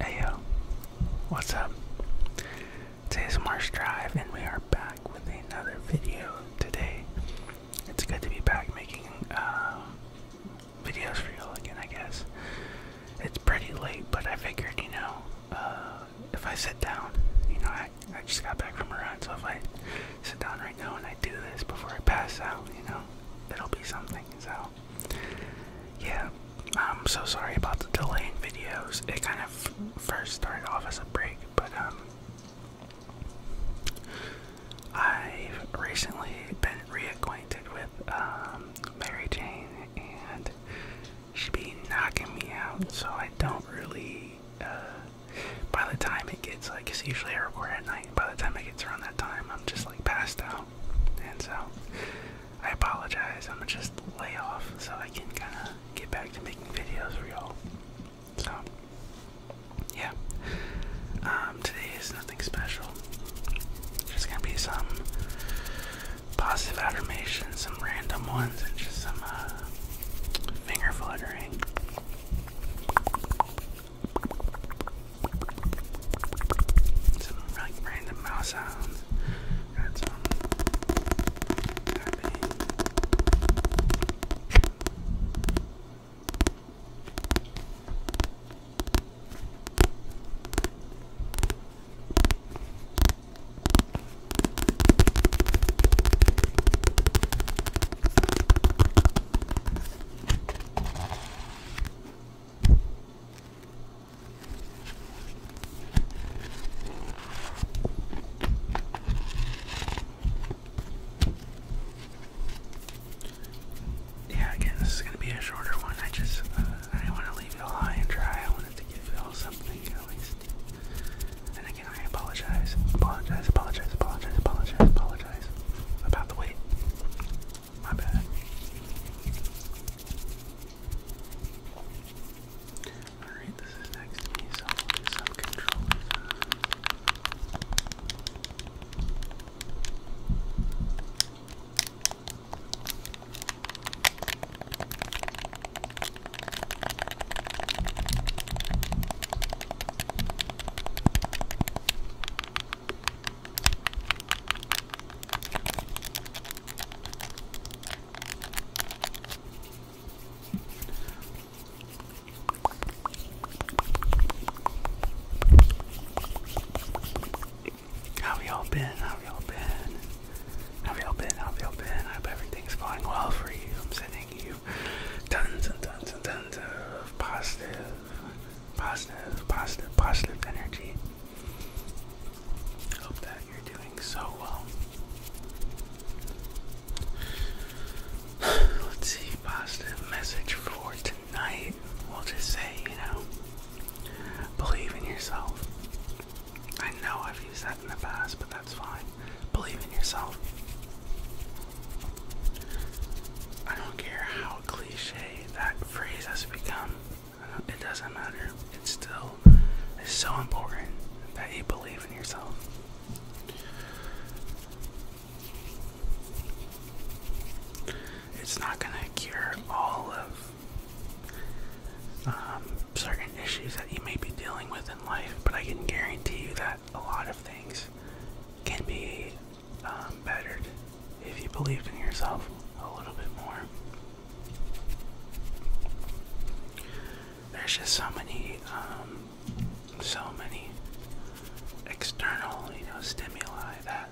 Hey yo, what's up? Today's Marsh Drive, and we are back with another video today. It's good to be back making uh, videos for y'all again, I guess. It's pretty late, but I figured, you know, uh, if I sit down, you know, I, I just got back from a run, so if I sit down right now and I do this before I pass out, you know, it'll be something. So yeah, I'm so sorry about the delaying videos. It kind of first started off as a break, but um, i recently been reacquainted with um, Mary Jane, and she be knocking me out, so I don't really. Uh, by the time it gets like, it's usually I record at 9 by the time it gets around that time, I'm just like passed out, and so I apologize. I'm gonna just lay off so I can kind of get back to making videos for y'all. So yeah, um, today is nothing special. Just gonna be some positive affirmations, some random ones, and just some uh, finger fluttering. Some like random mouse sounds. Got some tapping. Yeah, again, this is going to be a shorter one. I just uh, I didn't want to leave y'all high and dry. I wanted to give y'all something at least. And again, I apologize, apologize, apologize, apologize, apologize, apologize about the weight. My bad. Alright, this is next so i control. How y'all been? How y'all been? How y'all been? How y'all been? I hope everything's going well for you. I'm sending you tons and tons and of positive, positive, positive, positive energy. Hope that you're doing so well. Let's see, positive message for tonight. We'll just say, you know, believe in yourself. I know I've used that in the past, but that's fine. Believe in yourself. I don't care how cliche that phrase has become, it doesn't matter. It still is so important that you believe in yourself. It's not going to cure all of um, certain issues that you may be dealing with in life, but I can guarantee you that a lot of things can be um, bettered if you believed in yourself a little bit more. There's just so many, um, so many external, you know, stimuli that,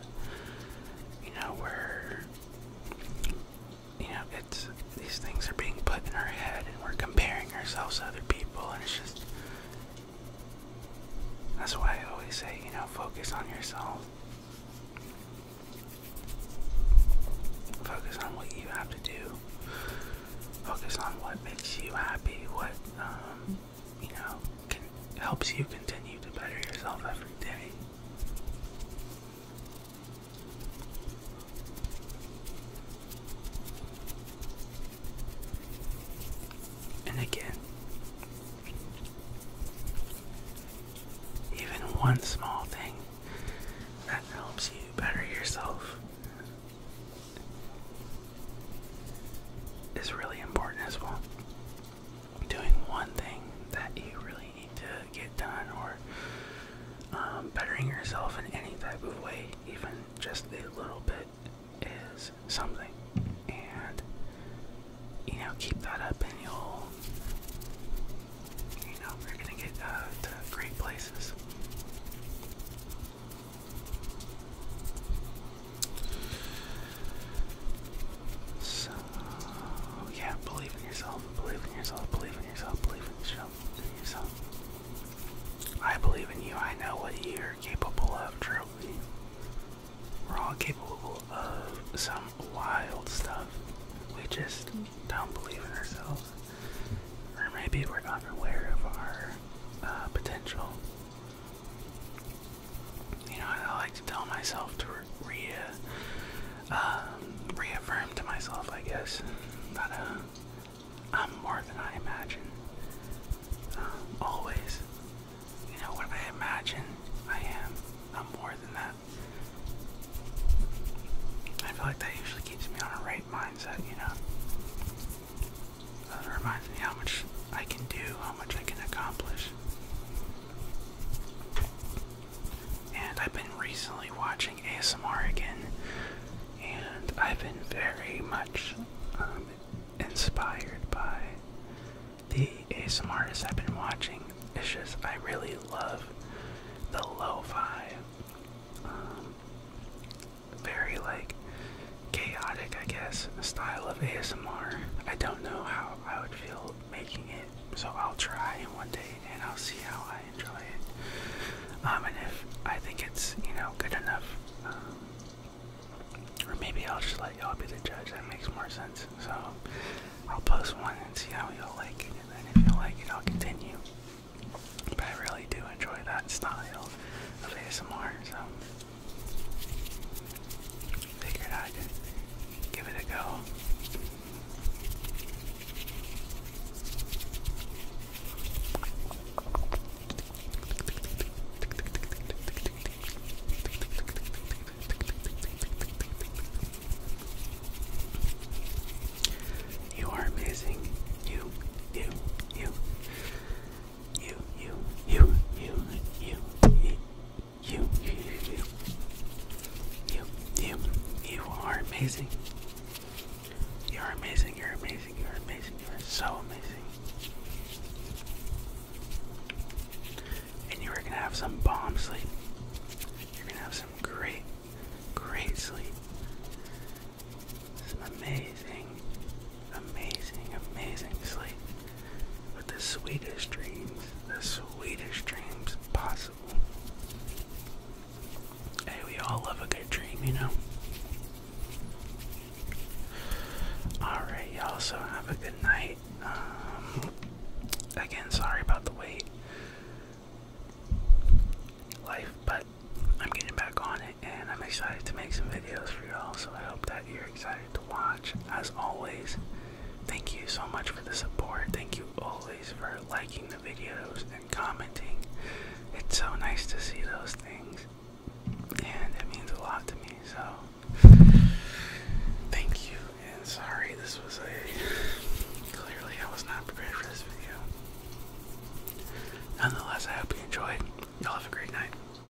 you know, we're, you know, it's these things are being put in our head and we're comparing ourselves to other people and it's just that's why I always say, you know, focus on yourself. Focus on what you have to do. Focus on what makes you happy, what, um, you know, helps you continue to better yourself every day. And again, even one small thing that helps you better yourself is really important as well. Doing one thing that you really need to get done or um, bettering yourself in any type of way, even just a little bit, is something. And you know, keep that up, and you'll, you know, you're gonna get uh, to great places. So, yeah, believe in yourself, believe in yourself, believe in yourself, believe in yourself yourself. I believe in you. I know what you're capable of, Trophy. We're all capable of some wild stuff. We just don't believe in ourselves. Or maybe we're unaware of our uh, potential. You know, I like to tell myself to re, re um, reaffirm to myself, I guess, uh, I'm more than I imagine. Um, always, you know, what I imagine I am, I'm more than that. I feel like that usually keeps me on a right mindset, you know. That reminds me how much I can do, how much I can accomplish. And I've been recently watching ASMR again, and I've been very much um, inspired by the ASMR artists I've been watching. It's just, I really love the lo fi. Um, very like chaotic, I guess, style of ASMR. I don't know how I would feel making it. So I'll try one day and I'll see how I enjoy it. Um, and if I think it's, you know, good enough, um, or maybe I'll just let y'all be the judge. That makes more sense. So I'll post one and see how y'all like it. And if you like it, I'll continue. But I really do enjoy that style of ASMR. So figured i give it a go. You are amazing. you, you, you, you, you, you, you, you, you, you, you, you, you, you are amazing. You are amazing. You're amazing. You're amazing. You are so amazing. And you are gonna have some bomb sleep. You're gonna have some great, great sleep. Some amazing, amazing, amazing sleep with the sweetest dreams, the sweetest dreams possible. Hey, we all love a good dream, you know? Alright, y'all, so have a good night. Um, again, sorry about the wait. Life, but I'm getting back on it and I'm excited to make some videos for y'all, so I hope that you're excited as always, thank you so much for the support. Thank you always for liking the videos and commenting. It's so nice to see those things, and it means a lot to me. So, thank you. And sorry, this was a clearly I was not prepared for this video. Nonetheless, I hope you enjoyed. Y'all have a great night.